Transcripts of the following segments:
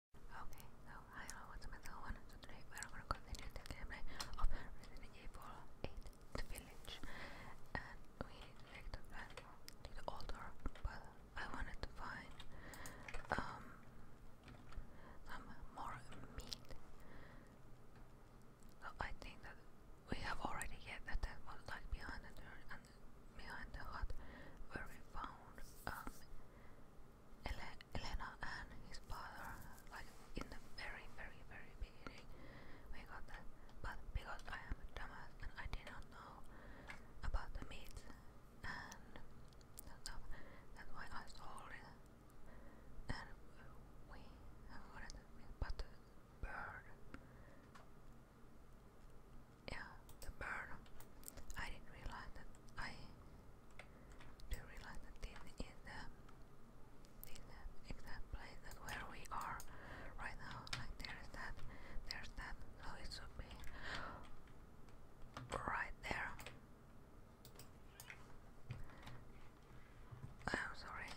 Okay, so hi hello, what's up everyone? So today we are going to continue the gameplay of Resident Evil 8 The Village and we like to plan the altar but I wanted to find um, some more meat I think that we have already get that that was like behind the dirt behind the hut where we found um, Ele Elena and his father, like in the very, very, very beginning, we got that. But because I am a dumbass and I did not know about the meat and stuff, that's why I sold it. And we have got it, but the bird. Yeah, the bird. I didn't realize that I the reluctant team in the, the exact place where we are right now. Like there's that, there's that, so it should be right there. I'm sorry.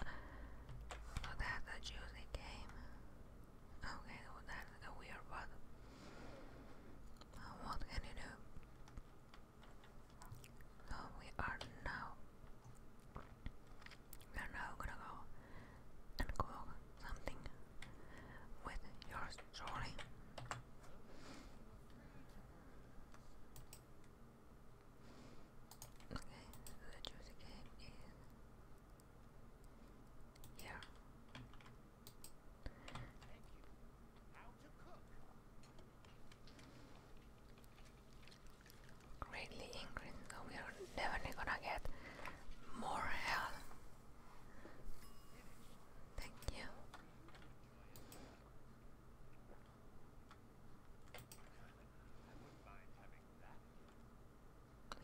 that's a juicy game. Okay, well that's a weird one. what can you do? we are now. We are now gonna go and cook something with your story. Okay, the juicy is here. Greatly increased, so we are definitely gonna get more health. Thank you.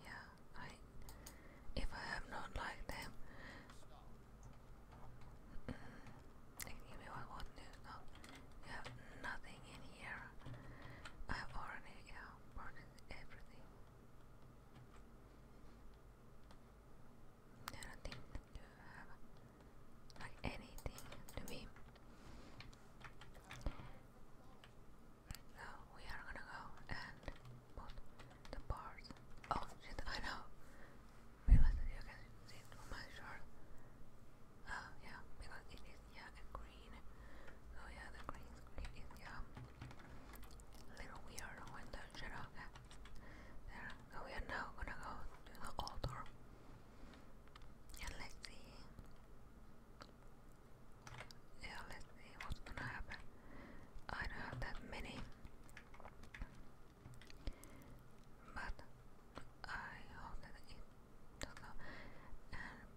Yeah, if I am not like them. Mm, give me one, one news. you have nothing in here. I've already yeah, everything. I don't think you have like anything to me. So we are gonna go and both the bars. Oh shit, I know. Realize that you can see my shirt. Uh, yeah, because it is, yeah, green. So oh, yeah, the green is, yeah, little weird when the shadow gets So we are now gonna go to the altar. And let's see. Yeah, let's see what's gonna happen. I don't have that many but I hope that it does not. And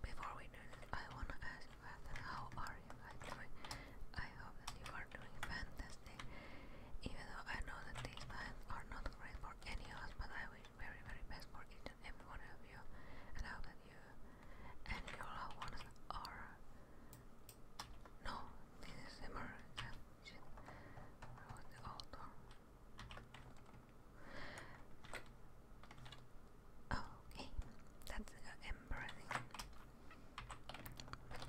before we do I wanna ask you how are you I hope that you are doing fantastic. Even though I know that these times are not great for any of us, but I wish very very best for each and every one of you. And I hope that you and your loved ones are no, this is American. Ah, Wrote Okay, that's embarrassing.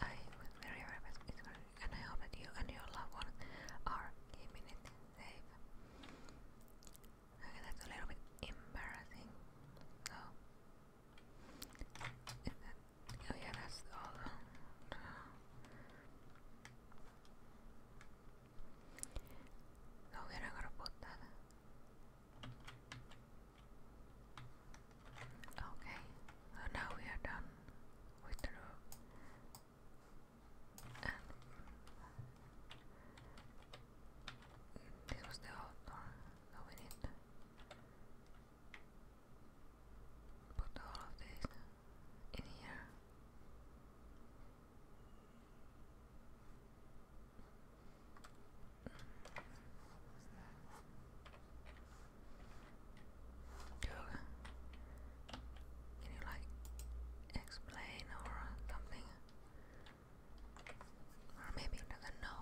I was very happy with I hope that you and your loved ones are keeping safe. Okay, that's a little bit embarrassing. And then, oh yeah, that's all the we're gonna put that. Okay, so oh, now we are done with the room. And this was the outdoor, so we need Put all of this in here. Yoga. Can you like explain or something? Or maybe doesn't know.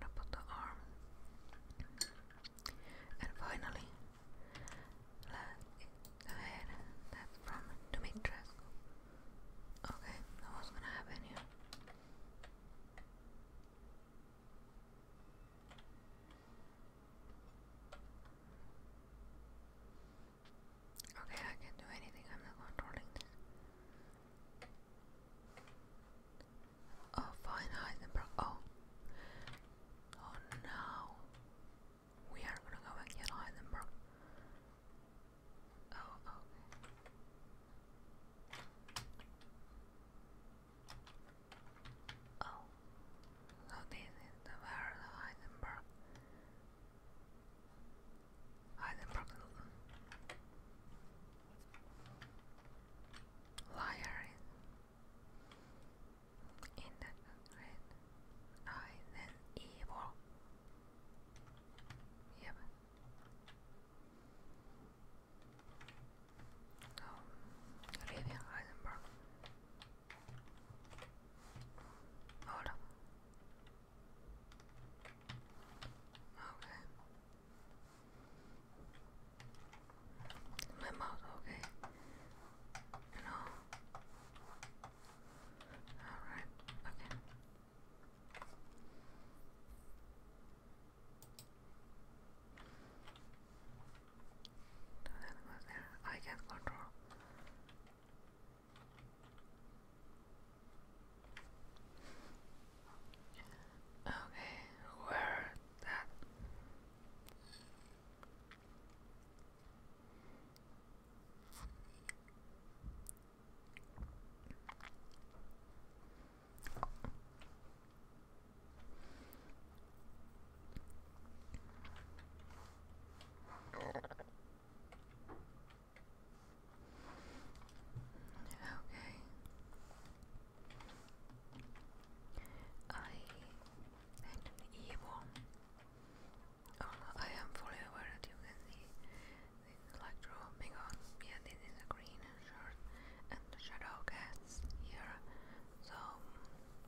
I'm put the arm. And finally, the head. That's from Dimitrescu. Okay, what's gonna happen here? Okay, I can do anything. I'm not controlling this. Oh, fine, Heisenberg. Oh. Oh no. We are gonna go and get Heisenberg. Oh, okay. Oh, so oh, this is the where the Heisenberg. Heisenberg liar in the red eye then evil. Yep um, Rivian Heisenberg. Hola. Okay. My mouth, okay. You Alright, okay. I can control. Okay, where that? Okay. I am evil. I am fully aware that you can see this like dropping on. Yeah, this green shirt and the shadow cast here. So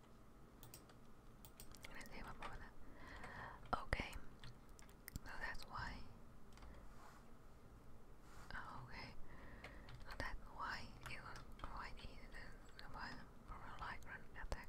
I'm Okay. So that's why. Oh, okay. So that's why it was quite easy from a lycran attack.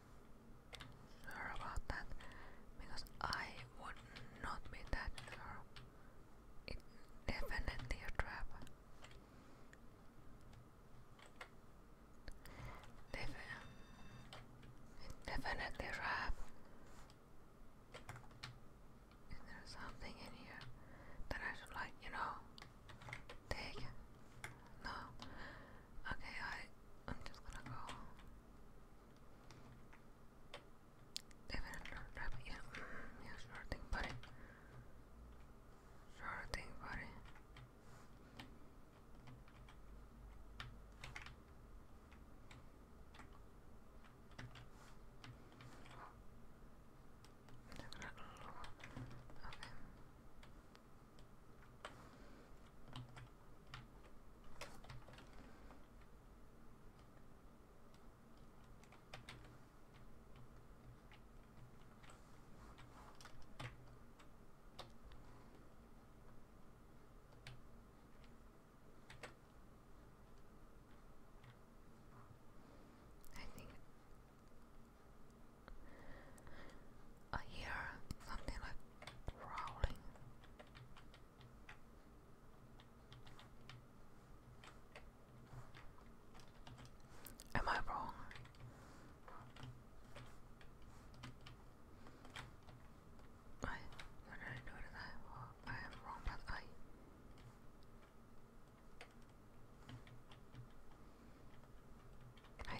about that because I would not be that sure. It's definitely a trap. Defi definitely a trap. Is there something in here that I should like, you know, take? No. Okay, I I'm just gonna go. Even rabbit, yeah, yeah, sure thing, buddy. Sure thing, buddy. Okay. I think I hear something like growling. Am I wrong? I what did I do to I am wrong, but I I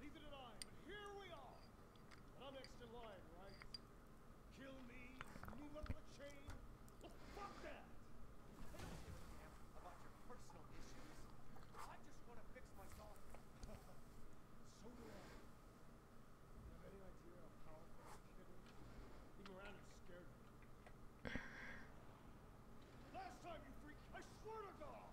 Leave it at I, but here we are. And I'm next in line, right? Kill me, move up the chain. Well, fuck that! I don't give a damn about your personal issues. I just want to fix myself. so do I. You have any idea how powerful this kid is? Even Miranda's scared of me. Last time, you freak, I swear to God!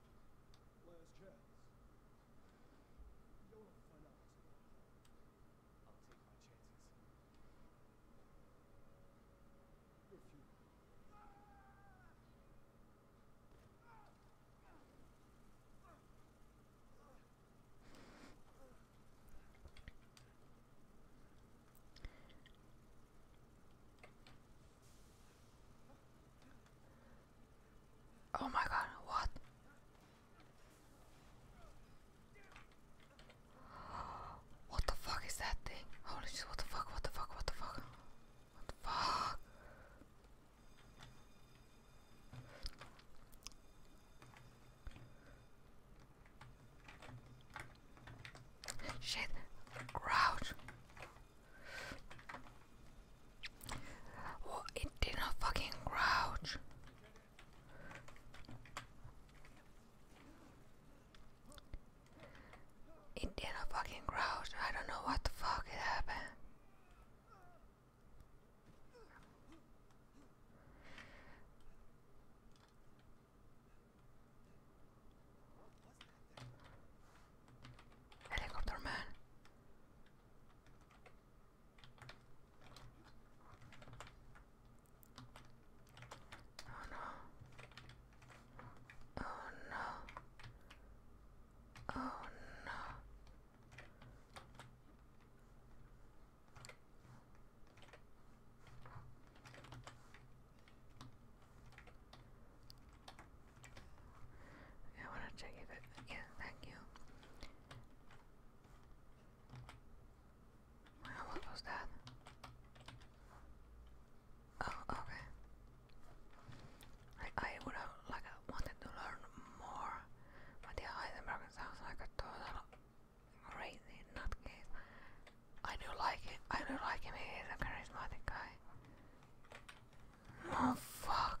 Last chance. You don't want to find out what's going on. I'll take my chances. You're futile. Oh my god, what? What the fuck is that thing? Holy shit, what the fuck, what the fuck, what the fuck? What the fuck? Shit, crouch it did not fucking crouch. It did not fucking crouch. I don't know what the fuck happened. Helicopter man. Oh no. Oh no. Oh no. I want to check it again. Thank you. what was that? Oh, okay. Like I would have like uh, wanted to learn more, but the Heisenberg sounds like a total crazy nutcase. I do like it. I do like him. He is a charismatic guy. Oh fuck.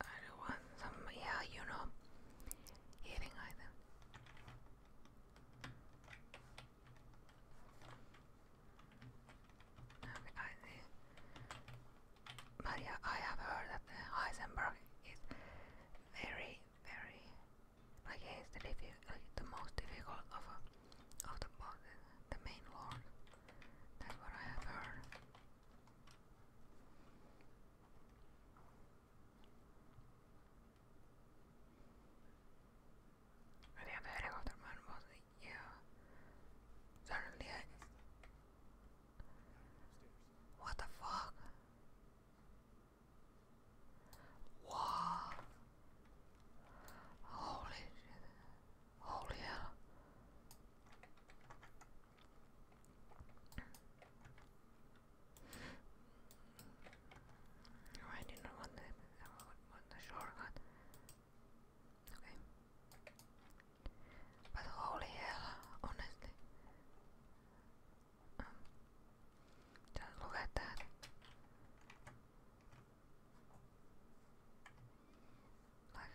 I do not want some, yeah, you know, healing item. Okay, I see. But yeah, I have heard that Heisenberg is very, very, like he's the, most difficult of, uh, of the bosses, uh, the main lord. That's what I have heard the helicopter man was yeah. Suddenly What the fuck? Wow Holy shit Holy hell I did not want the, want the shortcut. Okay. But holy hell, honestly. Um, just look at that. Like,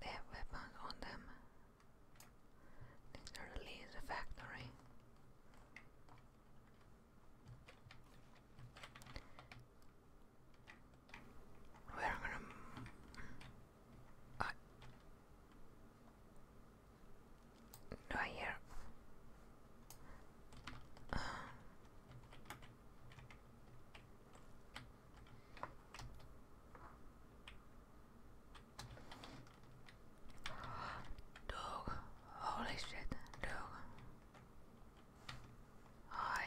they have weapons on them. Need to release the factory. We're I do I hear? Uh, Dog. Holy shit. Dog. Hi.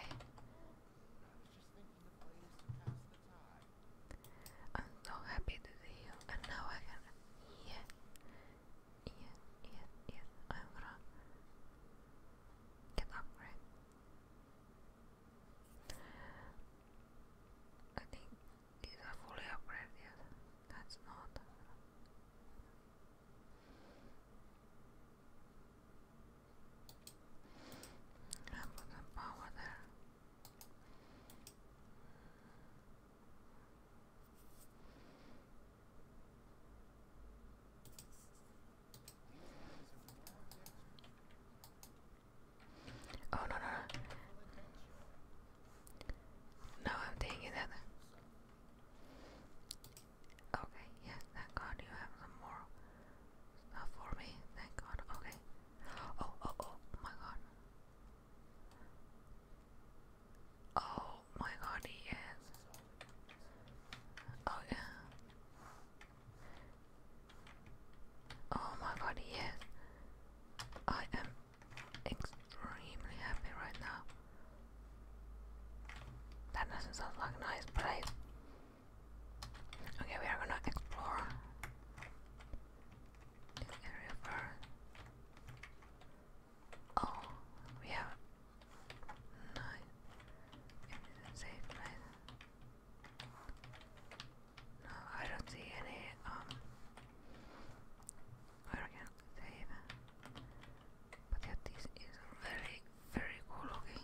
I'm so happy to see you, and now I can. Yes. Yes, yes, yes. I'm gonna get up, right? I think these are fully upgraded. That's not. I put some power there. Oh no no no. No, I'm taking that. Okay, yes, thank God you have some more stuff for me. Thank God. Okay. Oh oh oh my God. Oh my God, yes. Oh yeah. Oh my god, yes. I am extremely happy right now. That doesn't sound like a nice place. Okay, we are gonna explore this area first. Oh, we have nice. safe place. No, I don't see any, um, where I can But yeah, this is very, very cool looking.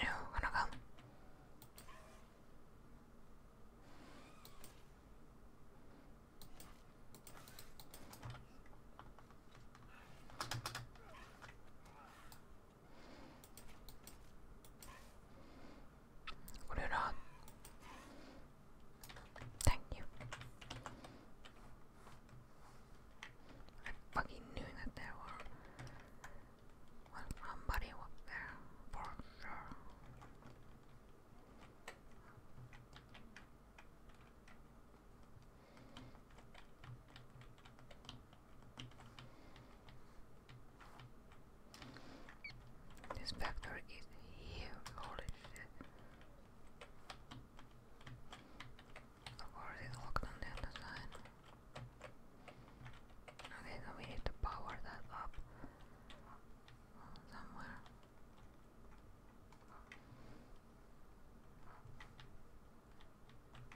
You wanna go? これら Thank you. I fucking knew that there were somebody was there this vector is here. holy shit. Of course it's locked on the other side. Okay, so we need to power that up somewhere.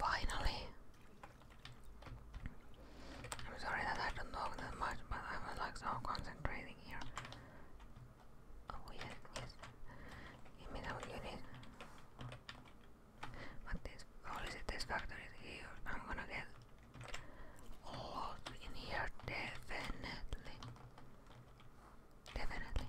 Finally, I'm sorry that I don't talk that much, but I was like so concentrating here. Oh yes, yes. Give me some units. But this only this factor is here. I'm gonna get lots in here definitely. Definitely.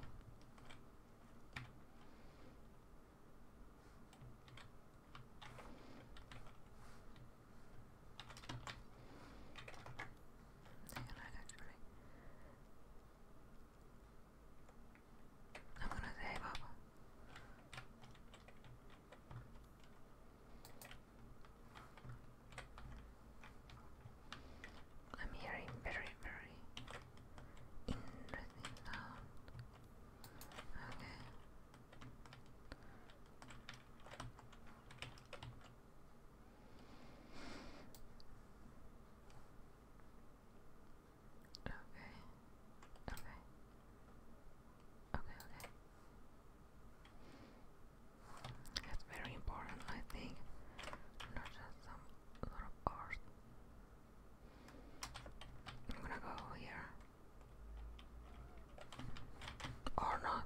I'm gonna say, up. I'm hearing very, very interesting sound. Okay. Okay. Okay. Okay, okay. That's very important, I think. Not just some lot of art. I'm gonna go here. Or not.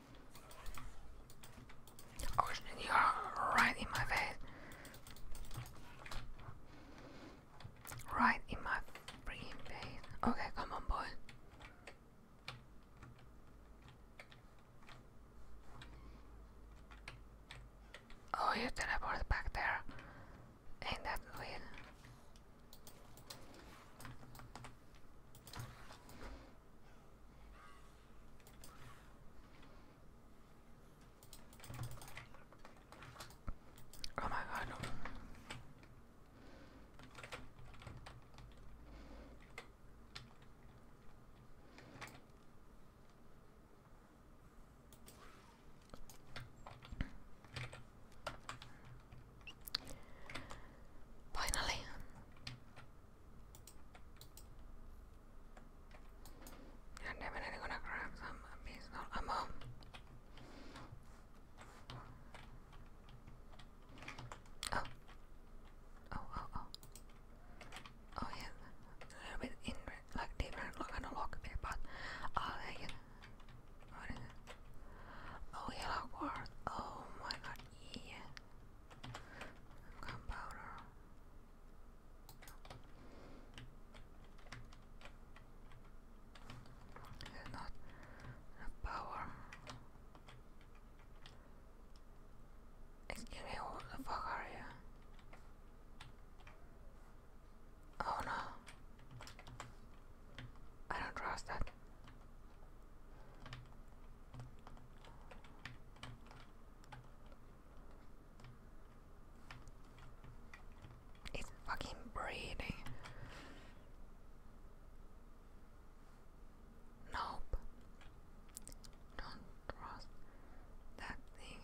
Oh, you are right in my face. Right in my freaking face. Okay, come on, boy. Oh, you teleported back there. Ain't that weird? Oh my god. Finally, I'm definitely gonna grab some pistol ammo. Oh. Oh, oh, oh. Oh, yeah. A little bit in, like, different, like, an but I'll take it. What is it? Oh, yellow quartz. Oh my god, yeah. Gunpowder. It's not power. Excuse me, what the Oh no. I don't trust that. It's fucking breathing. Nope. Don't trust that thing.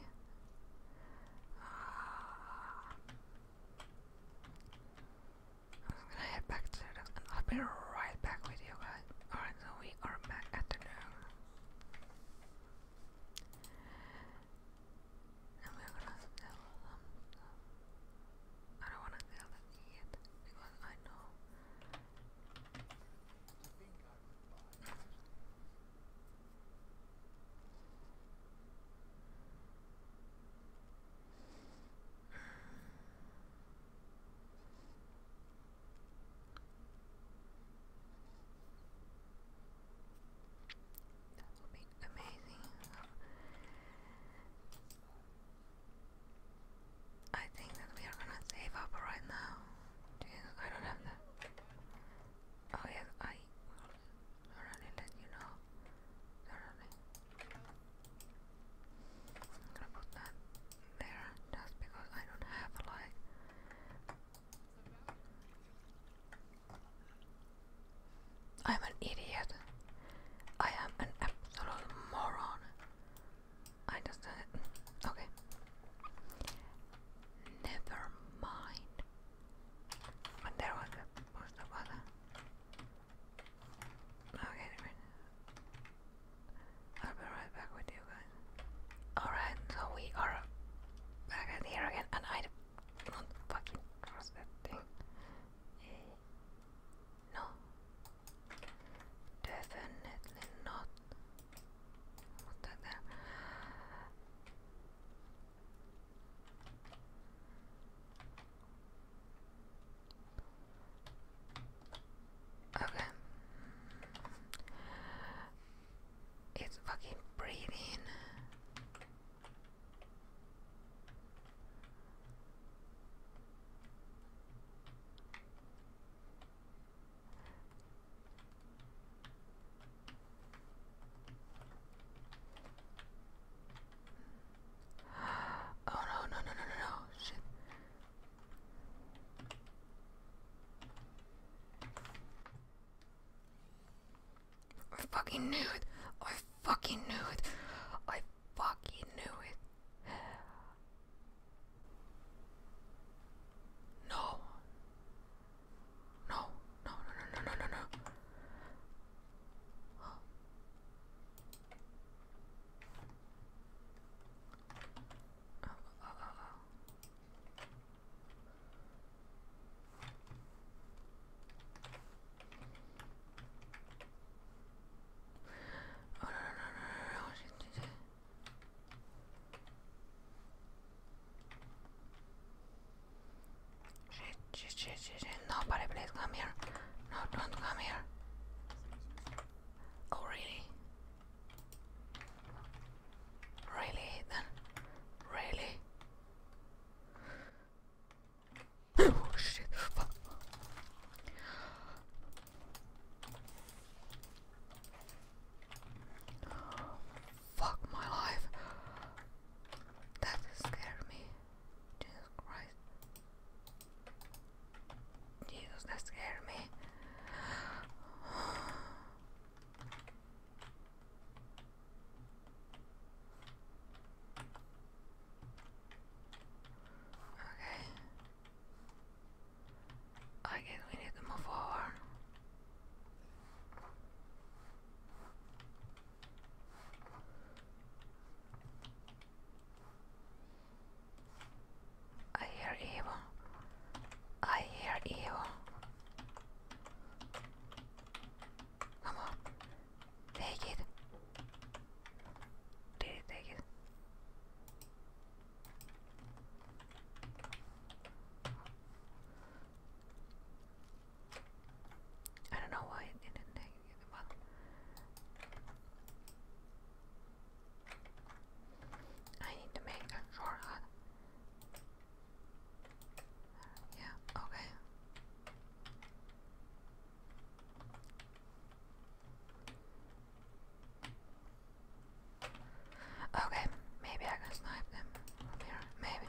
Uh, I'm gonna head back to and I'll be right back with you guys. Alright, so we are back at the dog. And we're gonna sell some I don't wanna sell that yet because I know that will be amazing. I think that we are gonna save up right now. I don't have that. Oh yes, I will let you know. Thoroughly. I'm gonna put that there just because I don't have like I'm an idiot. I am an absolute moron. I just uh, okay. Never mind. But there was a post Okay, I'll be right back with you guys. Alright, so we are back at here again, and I don't fucking trust that thing. Eh, no. Definitely not. Put that there. Okay. It's fucking breathing. Oh no no no no no shit I fucking knew it. I fucking knew it. I fucking knew it. No. No, no, no, no, no, no, Ah, ah, ah, ah. Oh, não, não, não, não, não, gente. Shit, shit, shit, shit, shit. Nobody please come here. No, don't come here. Oh, really? Really, then? Really? oh, shit. Fuck. my life. That scared me. Jesus Christ. Jesus, that scared me. Okay. I guess we need to move forward. I hear evil. I hear evil. Come on. Take it. Did it take it? I don't know why it didn't take it. I need to make a shortcut. Uh, yeah, okay. Okay, maybe I can snipe them from here. Maybe.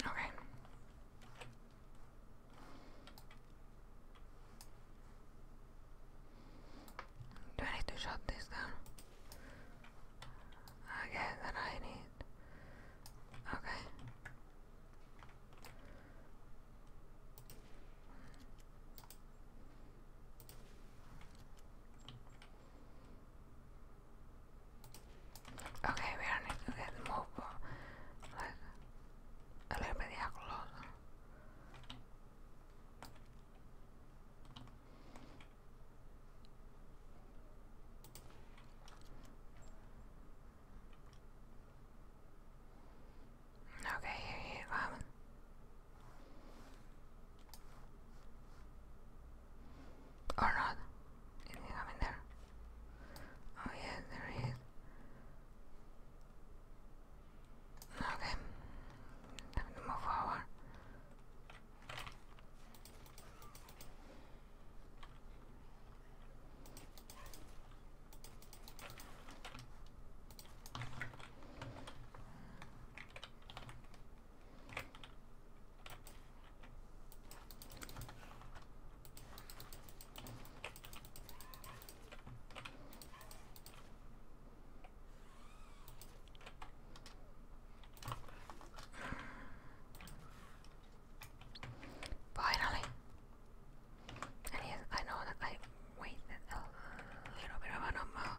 Okay. Do I need to shut this down? I that I need. Okay. Okay, we are need to get move uh, like a little bit yeah, closer. Okay, here you come. Or not. Anything up in there? Oh yeah, there Okay. Time to move forward. Finally, and yes, I know that I waited a little bit of a number.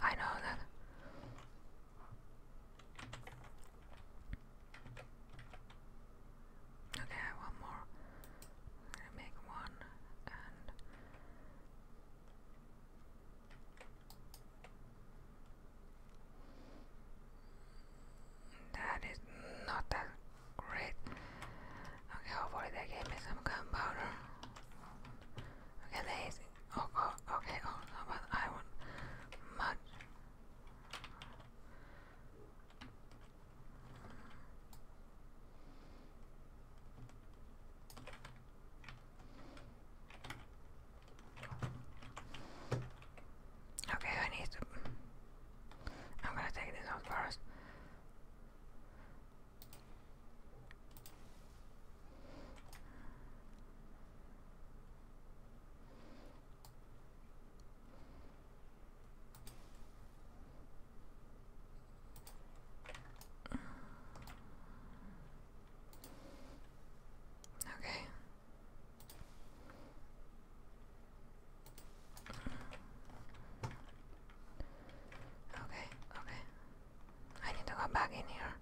I know that Okay, I'm going make one and that is not that great. Okay, hopefully they gave me some gunpowder. Okay, there is Oh, okay. Oh but I would much. Okay, I need to. I'm gonna take this off first. Okay. Okay, okay. I need to go back in here.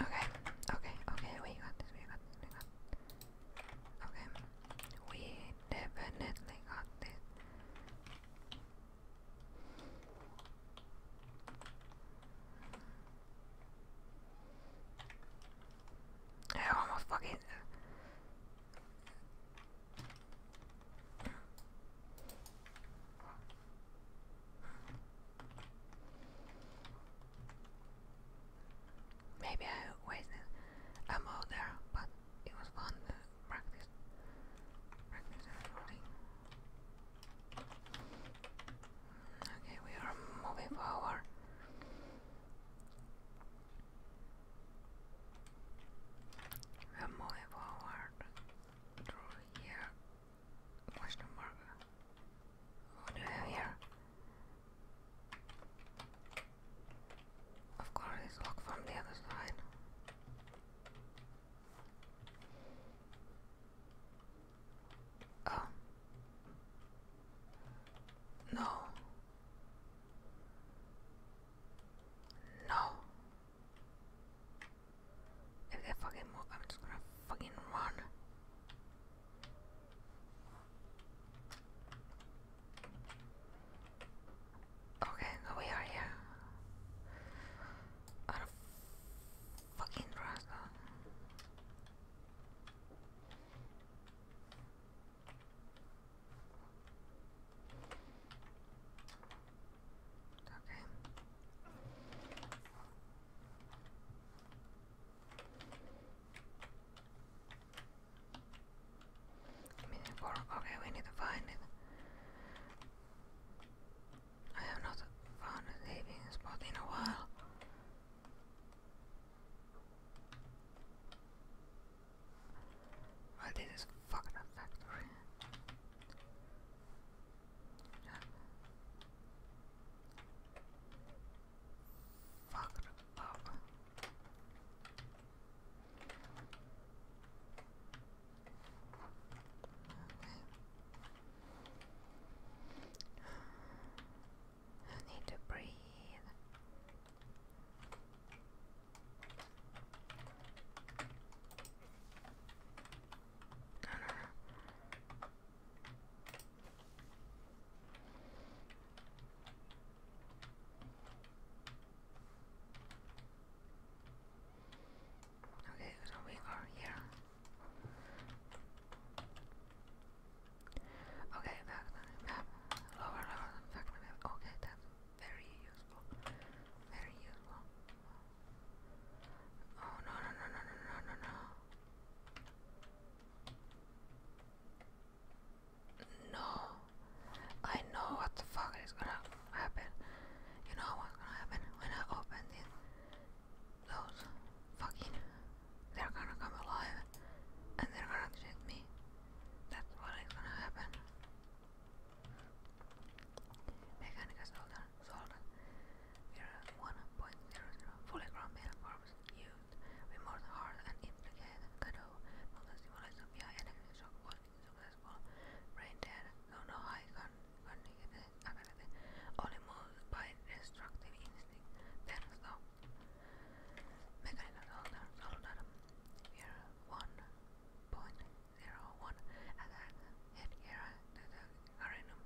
Okay, okay, okay, we got this, we got this, we got this. Okay, we definitely got this. I almost fucking Maybe I wasted a mode there, but it was fun to practice. Okay, we are moving forward. We'll move forward through here. Question mark. What do we have here? Of course, it's locked from the other side. Oh. No. No. If they fucking move, I'm just gonna fucking run. Okay, now we are here. Out fucking trust. Okay. Minute four. Okay, we need to find it. I have not found a living in a while. Well, this is fucking a factory. Yeah. up. Okay. I need to breathe. Okay, so we are here. Okay, map. Lower, lower map. Okay, that's very useful. Very useful. Oh no no no no no no no no. No. I know what the fuck is gonna happen. You know what's gonna happen when I open this those fucking they're gonna come alive and they're gonna shoot me. That's what is gonna happen. Mechanicus Solder solder. We're 1.00 fully grown male forms used. Remorse hard and implicate Kado. Motor stimulation via shock was successful. Brain dead, no high con cognitive ability. Only moved by destructive instinct. Then stop. Mechanical soldat year 1.01 attack headgear to the arenum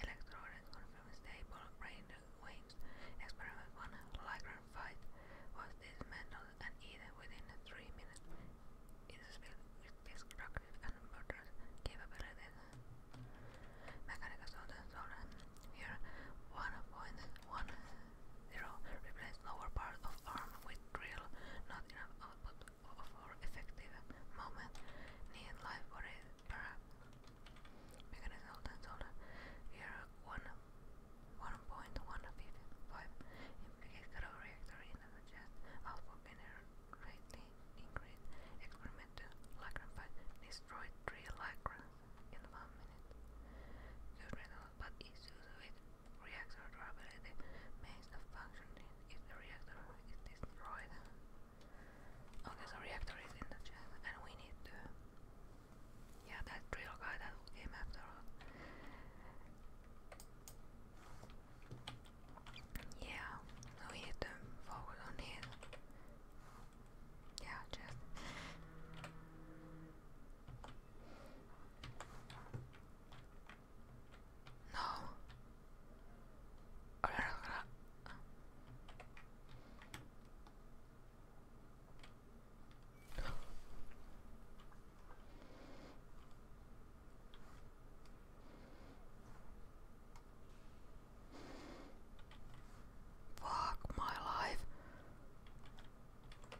electrode confirms stable brain waves. Experiment 1 Lycran fight was dismantled and eaten within 3 minutes. It is filled with destructive and murderous capabilities. Mechanical soldat soldat year 1.1 0. Replace lower part of arm with drill, not enough output for effective movement. Need live body para mechanism and shoulder. Here 1.155 reactor in the chest, output generally increased. Experiment 2. Lycran 3 Lycran in one minute. The renal but issues with reactor durability means of functioning if the reactor is destroyed. Okay, so reactor is in the chat and we need Yeah that real guy that came after us. Yeah, we need to focus on him. Yeah, just no. Okay, no, no, no. Fuck my life.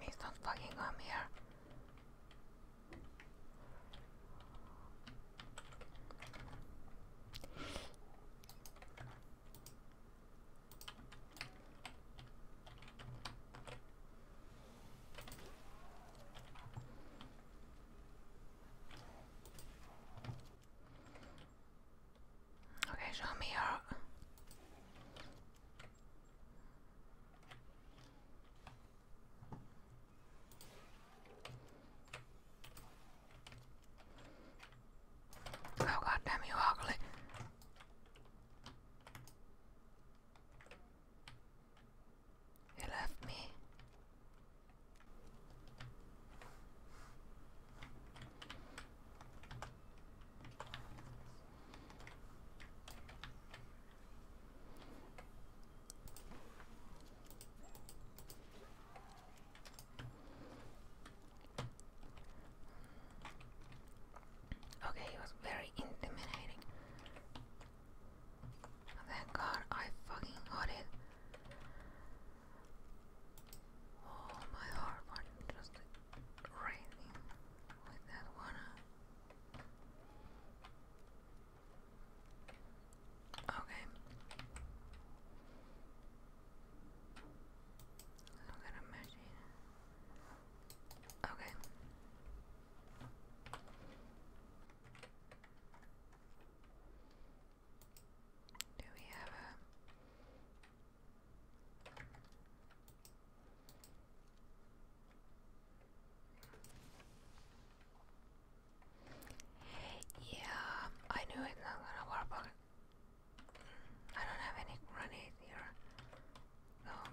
He's not fucking come here. Okay, show me your. Oh god you ugly. You left me. Okay, he was very intimidating. Thank God I fucking got it. Oh, my heart was just racing with that one. Uh. Okay. Look at a machine. Okay. Do we have a yeah, I knew it's not gonna work, but mm, I don't have any grenades here. Mm,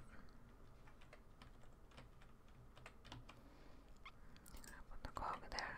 i put the cog there.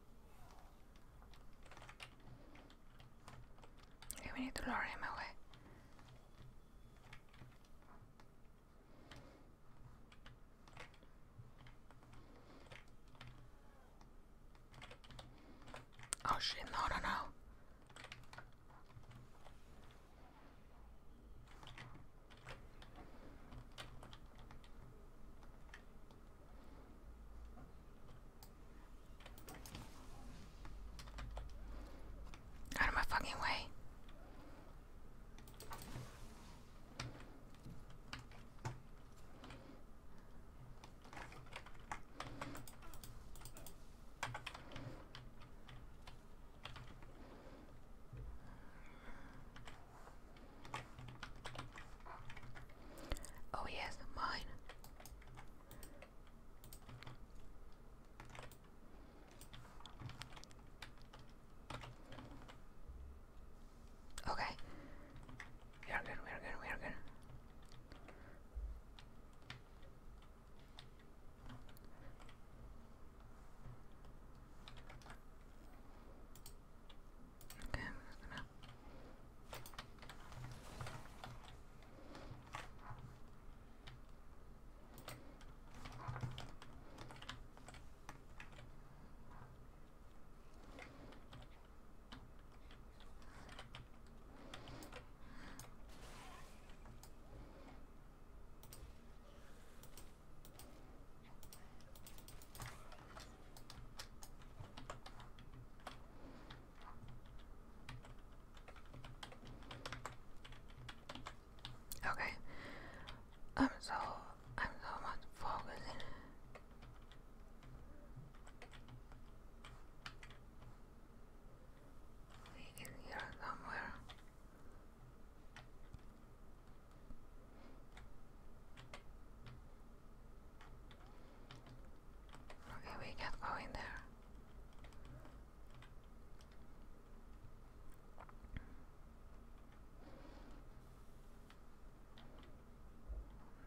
we need to lure him away. Oh shit, no, no, no. Out of my fucking way. Oh yes, mine. Okay. We are good, we are good, we are good. Okay, i Okay. I'm so I'm so much focusing. in here somewhere. Okay, we can't go in there.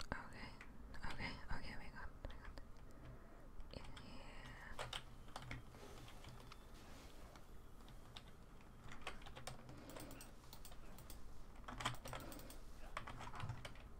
Okay, okay, okay, we got, we got it.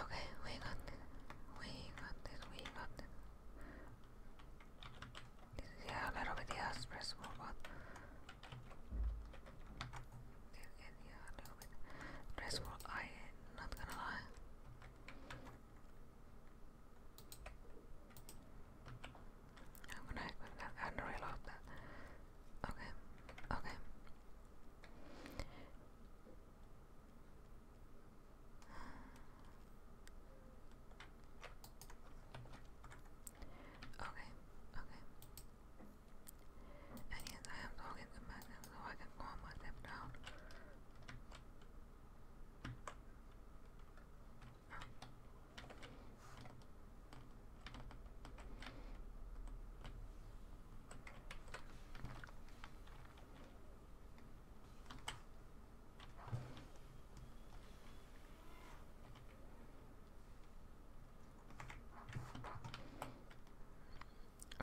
okay, we got this. We got this. We got this. yeah, a little bit yeah, stressful, but yeah, a little bit stressful. I not gonna lie. I'm gonna equip that and reload that. Okay. Okay. Okay, okay. And yes, I am talking to myself so I can calm myself down.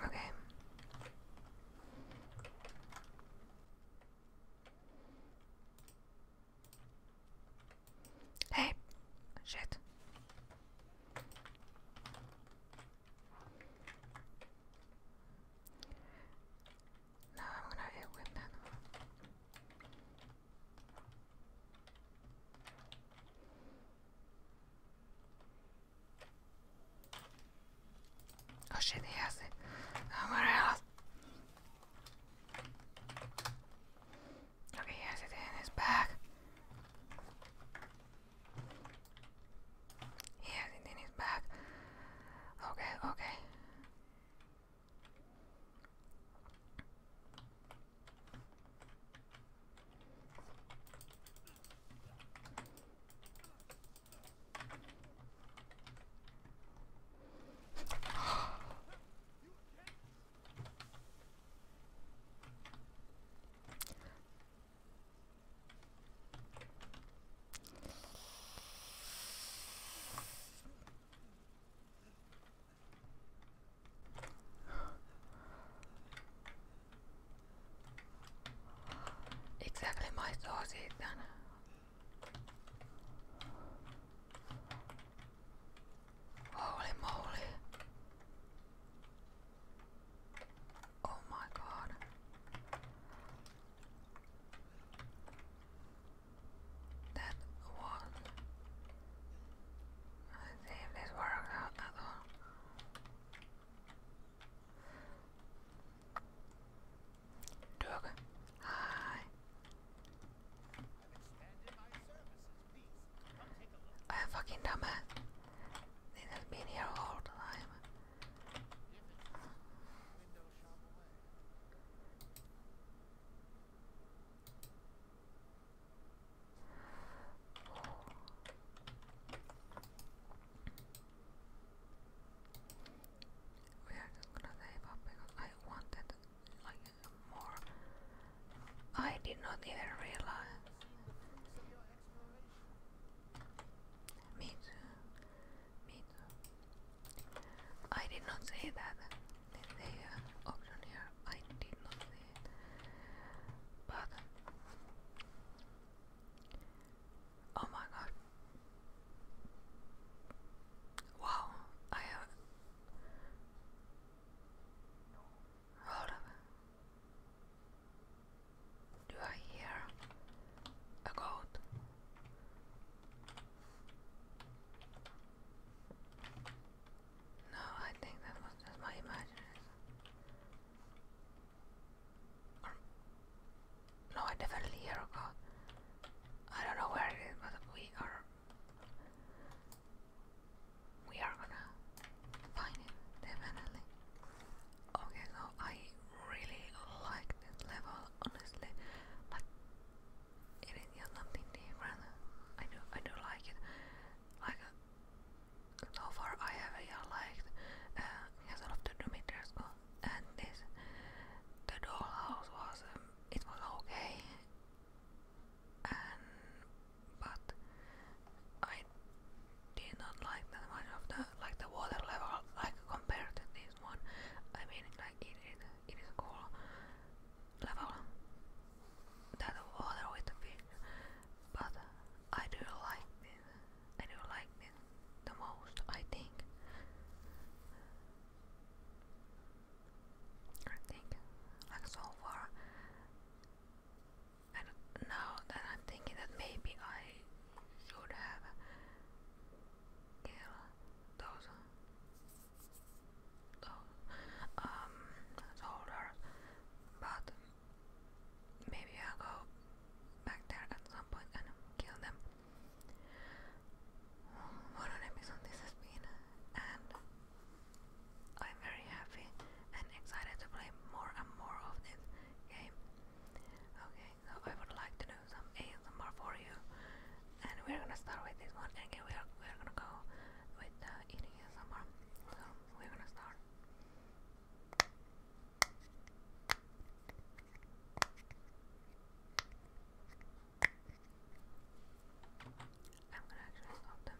Okay. Hey, shit. Now I'm gonna hit with that Oh shit, he has it. Somewhere else. Okay, he has it in his back. He has it in his bag. Okay, okay. Exactly my sauce is done. Holy moly. Oh my god. That was I see if this works out uh, at all. Doug, hi. I fucking dumb it. This been here all the time. We are just gonna save up because I wanted like more I did not even realize. Me too. I did not say that. The uh, option here, I did not say But. Oh my god. Wow, I have. Hold up. Do I hear a goat? No, I think that was just my imagination. no, I definitely hear a goat. I don't know where it is, but we are we are gonna find it definitely. Okay, so I really like this level, honestly, but it is just something different. I do, I do like it. Like so far, I have uh, liked uh, Castle the Demeter School and this. The dollhouse was, um, it was okay and but I did not like that much of the like the water level like compared to this one. I mean like is it, it is cool level that water with the fish but I do like this I do like this the most I think I think like so far and now that I'm thinking that maybe I should have killed those, those um, soldiers, but maybe i go back there at some point and kill them. What an episode this has and I'm very happy and excited to play more and more of this game. Okay, so I would like to do some ASMR for you, and we're gonna start with this one. again, we are we're gonna go with uh, eating ASMR. So we're gonna start. I'm gonna actually stop them.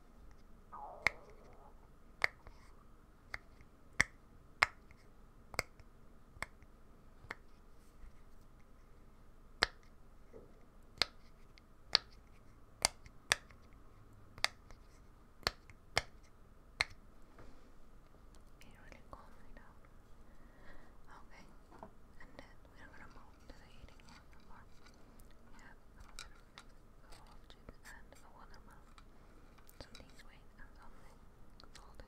It's really cold right now. Okay, and then we're gonna move to the heating one collages and a Wanama. Something's weight and something folding.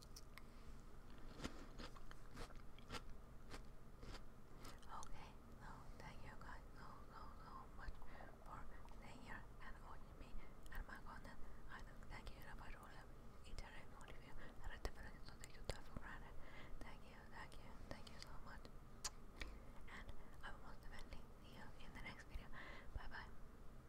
Okay, now thank you guys so so so much for staying here and watching me and my content. I thank you about all each and every one of you that you for granted. Thank you, thank you, thank you so much. And I will most definitely see you in the next video. Bye bye.